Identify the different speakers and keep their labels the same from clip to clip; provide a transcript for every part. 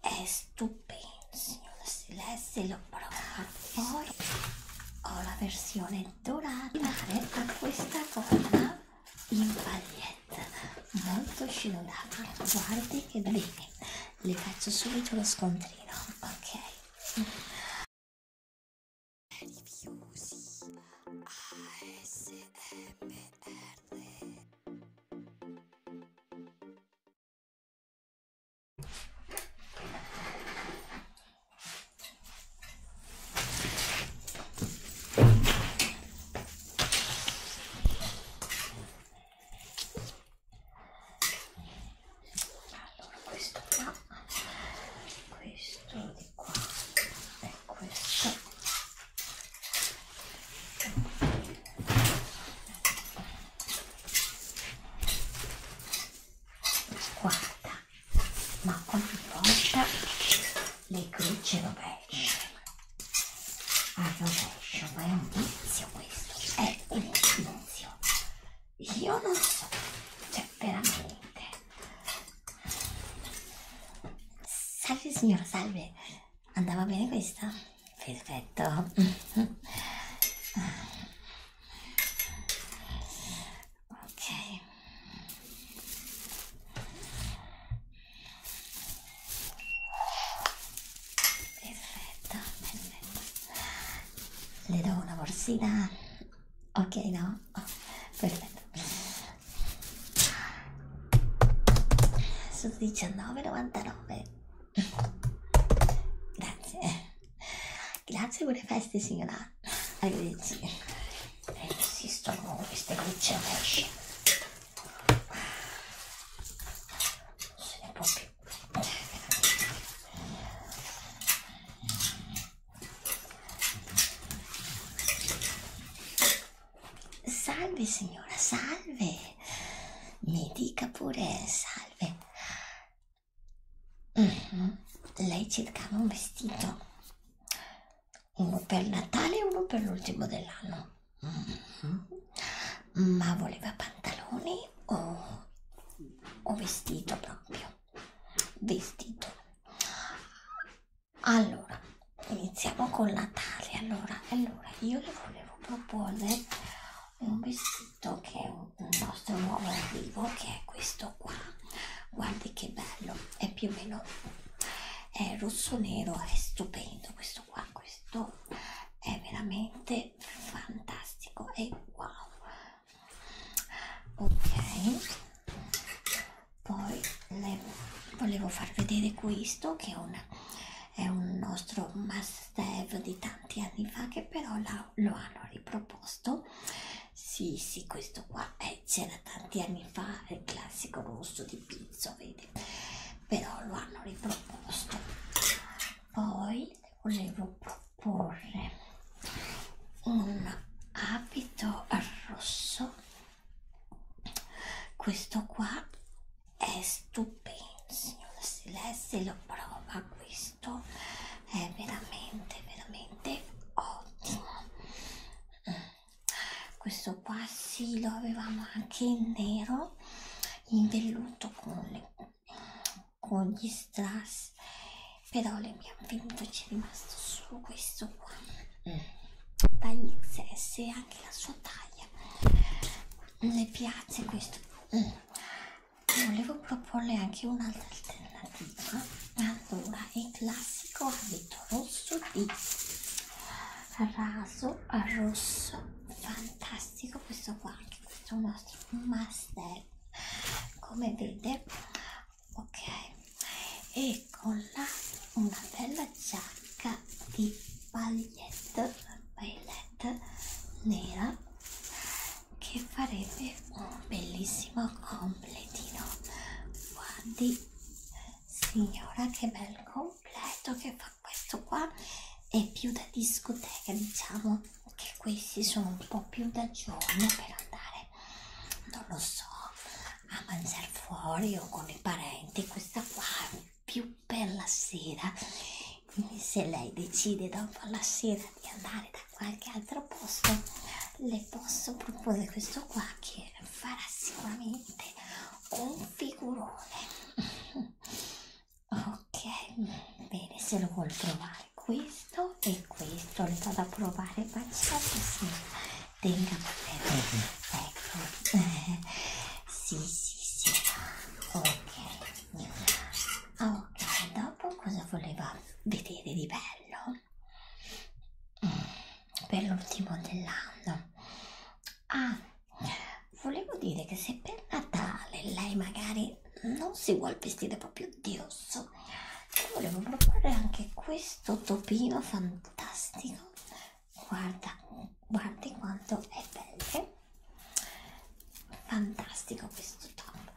Speaker 1: È stupendo, signora Celeste, l'ho provato. Ho la versione dorata a ecco questa gonna in paglietta, molto sciolata. Guardi che bene, le faccio subito lo scontrino, ok? Rifiusi ASMR allora, questo qua, questo di qua e questo Guarda, ma ogni volta le croce rovesciano. Al rovescio, ma è un vizio questo, è un vizio. Io non so, cioè veramente. Salve signora, salve. Andava bene questa? Perfetto. ok. Perfetto, perfetto. Le do una borsina. Ok, no? Oh, perfetto sono 19,99 grazie grazie per le feste signora arrivederci esistono queste gocce rovesce non se ne può più Salve signora, salve. Mi dica pure salve. Mm -hmm. Lei cercava un vestito. Uno per Natale e uno per l'ultimo dell'anno. Mm -hmm. Ma voleva pantaloni o, o vestito proprio? Vestito. Allora, iniziamo con la taglia. Allora, allora, io le volevo proporre un vestito che è un, un nostro nuovo arrivo, che è questo qua. Guardi che bello, è più o meno è rosso nero, è stupendo questo qua, questo è veramente fantastico e wow. Ok poi volevo, volevo far vedere questo che è, una, è un nostro must have di tanti anni fa che però la, lo hanno riproposto sì sì questo qua eh, c'era tanti anni fa il classico rosso di pizzo vedi però lo hanno riproposto poi volevo proporre un abito rosso questo qua è stupendo signora Celeste lo prova questo è veramente veramente ottimo mm. questo qua sì lo avevamo anche in nero in velluto con, le, con gli strass però le abbiamo finito c'è rimasto solo questo qua tagli XS e anche la sua taglia le piace questo mm. volevo proporle anche un'altra alternativa allora il classico abito rosso di raso rosso fantastico questo qua anche questo è un nostro master come vede ok e con la una bella giacca di pagliette paillette nera che farebbe un bellissimo completino guardi signora che bel completo che fa questo qua è più da discoteca diciamo che questi sono un po' più da giorno per andare non lo so, a mangiare fuori o con i parenti, questa qua è più per la sera. Quindi se lei decide dopo la sera di andare da qualche altro posto, le posso proporre questo qua che farà sicuramente un figurone. Ok, bene, se lo vuol provare qui questo e questo le vado a provare qualsiasi sì tenga per me ecco eh, sì sì sì ok ok dopo cosa voleva vedere di bello mm, per l'ultimo dell'anno ah volevo dire che se per Natale lei magari non si vuol vestire proprio di rosso ti volevo proporre anche questo topino fantastico guarda guardi quanto è bello fantastico questo top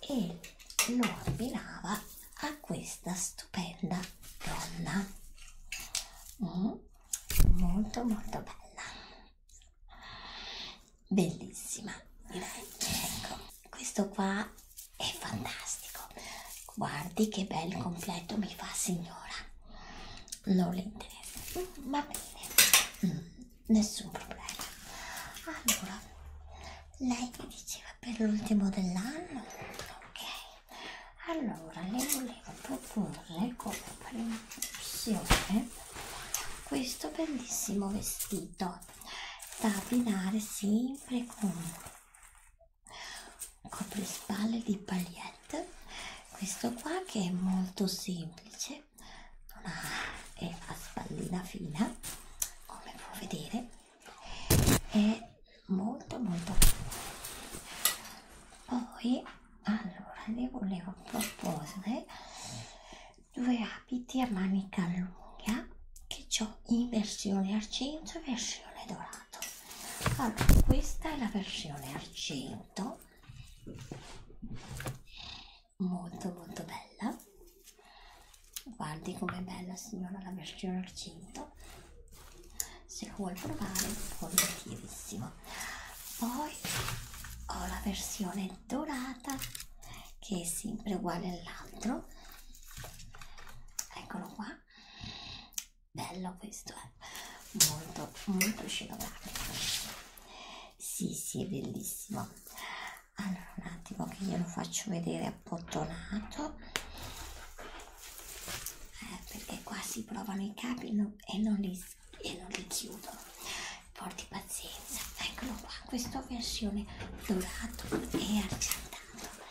Speaker 1: e lo abbinava a questa stupenda donna mm, molto molto bella bellissima direi ecco questo qua è fantastico guardi che bel completo mi fa signora non le interessa mm, va bene mm, nessun problema allora lei mi diceva per l'ultimo dell'anno ok allora le volevo proporre come prima opzione questo bellissimo vestito da abbinare sempre con un coprispalli di pagliette questo qua che è molto semplice non ha, è a spallina fina come può vedere è molto molto poi allora ne volevo proporre due abiti a manica lunga che ho in versione argento e versione dorato allora questa è la versione argento molto molto bella guardi com'è bella signora la versione argento se lo vuoi provare volentierissimo poi ho la versione dorata che è sempre uguale all'altro eccolo qua bello questo è eh? molto molto scenografico sì sì è bellissimo allora un attimo che io lo faccio vedere appottonato eh, perché qua si provano i capi e non li e lo richiudo porti pazienza eccolo qua questa versione dorato e argentato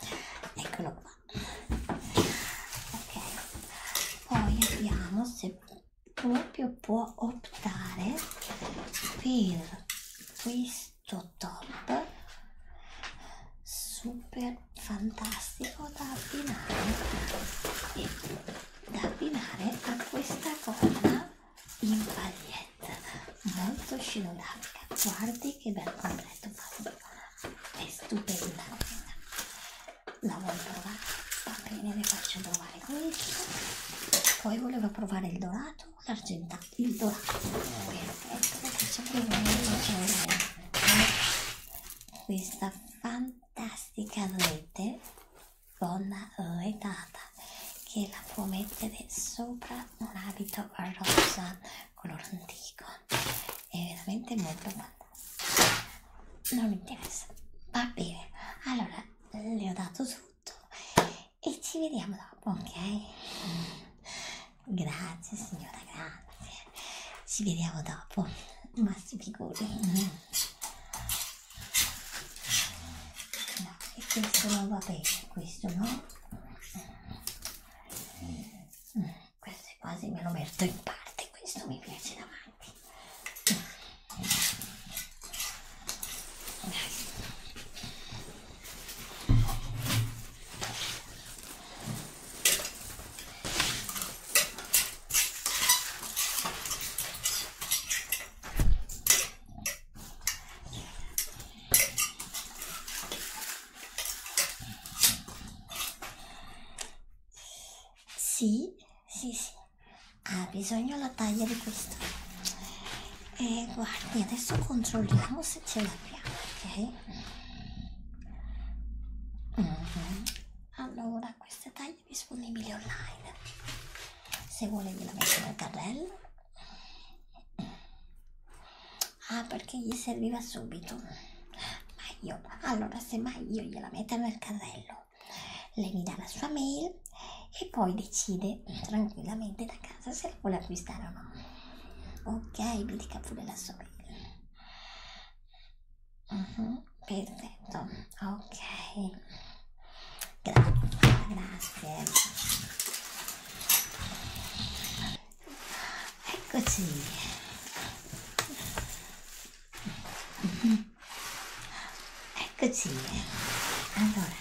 Speaker 1: eccolo qua ok poi abbiamo se proprio può optare per questo top super fantastico da abbinare e da abbinare a questa gonna in pagliette molto scenodarica guardi che bel completo fatica è stupenda la vuoi provare? va bene le faccio provare questo poi voleva provare il dorato l'argentato il dorato perfetto le faccio provare questa fantastica rete donna retata che la può mettere sopra un abito rosa color antico è veramente molto fantastico non mi interessa va bene allora le ho dato tutto e ci vediamo dopo ok grazie signora grazie ci vediamo dopo ma si figuri no, e questo non va bene questo no questo quasi me lo metto in parte questo mi piace davanti sì, sì, sì. Ha bisogno la taglia di questo. E guardi, adesso controlliamo se ce l'abbiamo, ok? Mm -hmm. Allora, questa taglia online, disponibile online. Se vuole ve la metto nel carrello. Ah, perché gli serviva subito. Ma io, allora se mai io gliela metto nel carrello, lei mi dà la sua mail e poi decide tranquillamente da casa se la vuole acquistare o no. Ok, mi dica pure la sua mail. Uh mm-hmm. -huh, perfetto, ok. Gra grazie. Eccoci. Uh mm-hmm. -huh. Eccoci. Allora,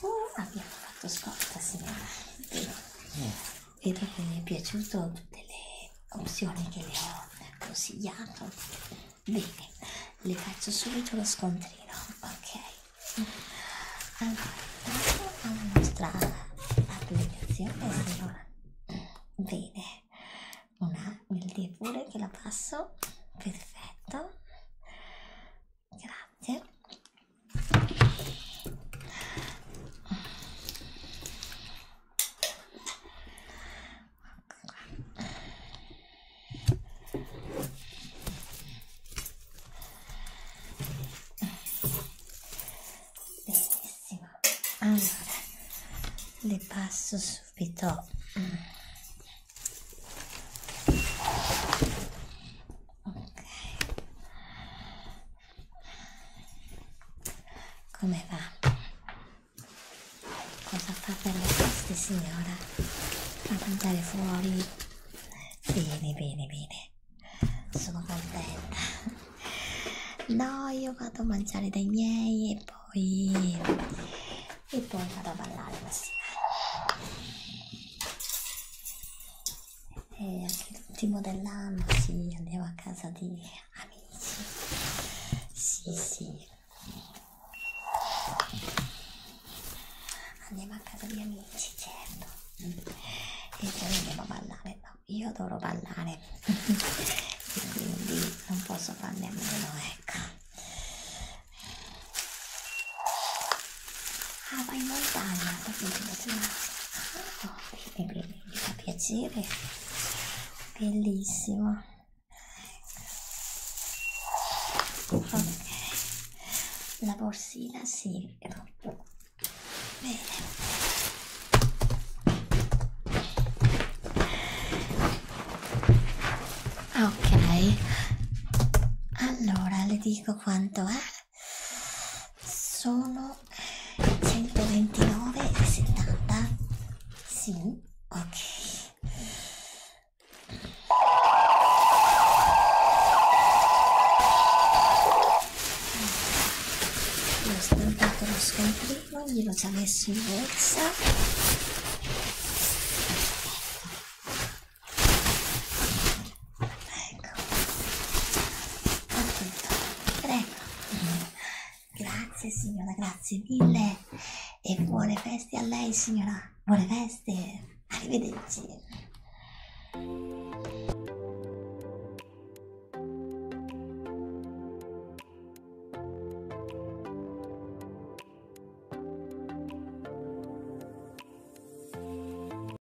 Speaker 1: uh, abbiamo fatto scorta, signora. Vedo, vedo che mi è piaciuto tutte le opzioni che le ho consigliato bene le faccio subito lo scontrino ok allora andiamo alla nostra applicazione allora, bene una mildì pure che la passo perfetto grazie benissimo allora le passo subito ok come va? Cosa fa per le feste, signora? Fa mangiare fuori? Bene, bene, bene. Sono contenta. No, io vado a mangiare dai miei e poi... e poi vado a ballare la sera e anche l'ultimo dell'anno si sì, andava a casa di amici sì sì andiamo a casa di amici certo e poi andiamo a ballare no io adoro ballare e quindi non posso farne a meno ecco Ah, vai in montagna, ho capito, ah, oh, bene, bene, mi fa piacere bellissima la borsina si sì. bene ok allora le dico quanto è sono 129,70 sì ok ho stampato lo scomprimo glielo ci ha messo in borsa Ecco, ho tutto, prego. Grazie signora, grazie mille. E buone feste a lei signora. Buone feste. Arrivederci.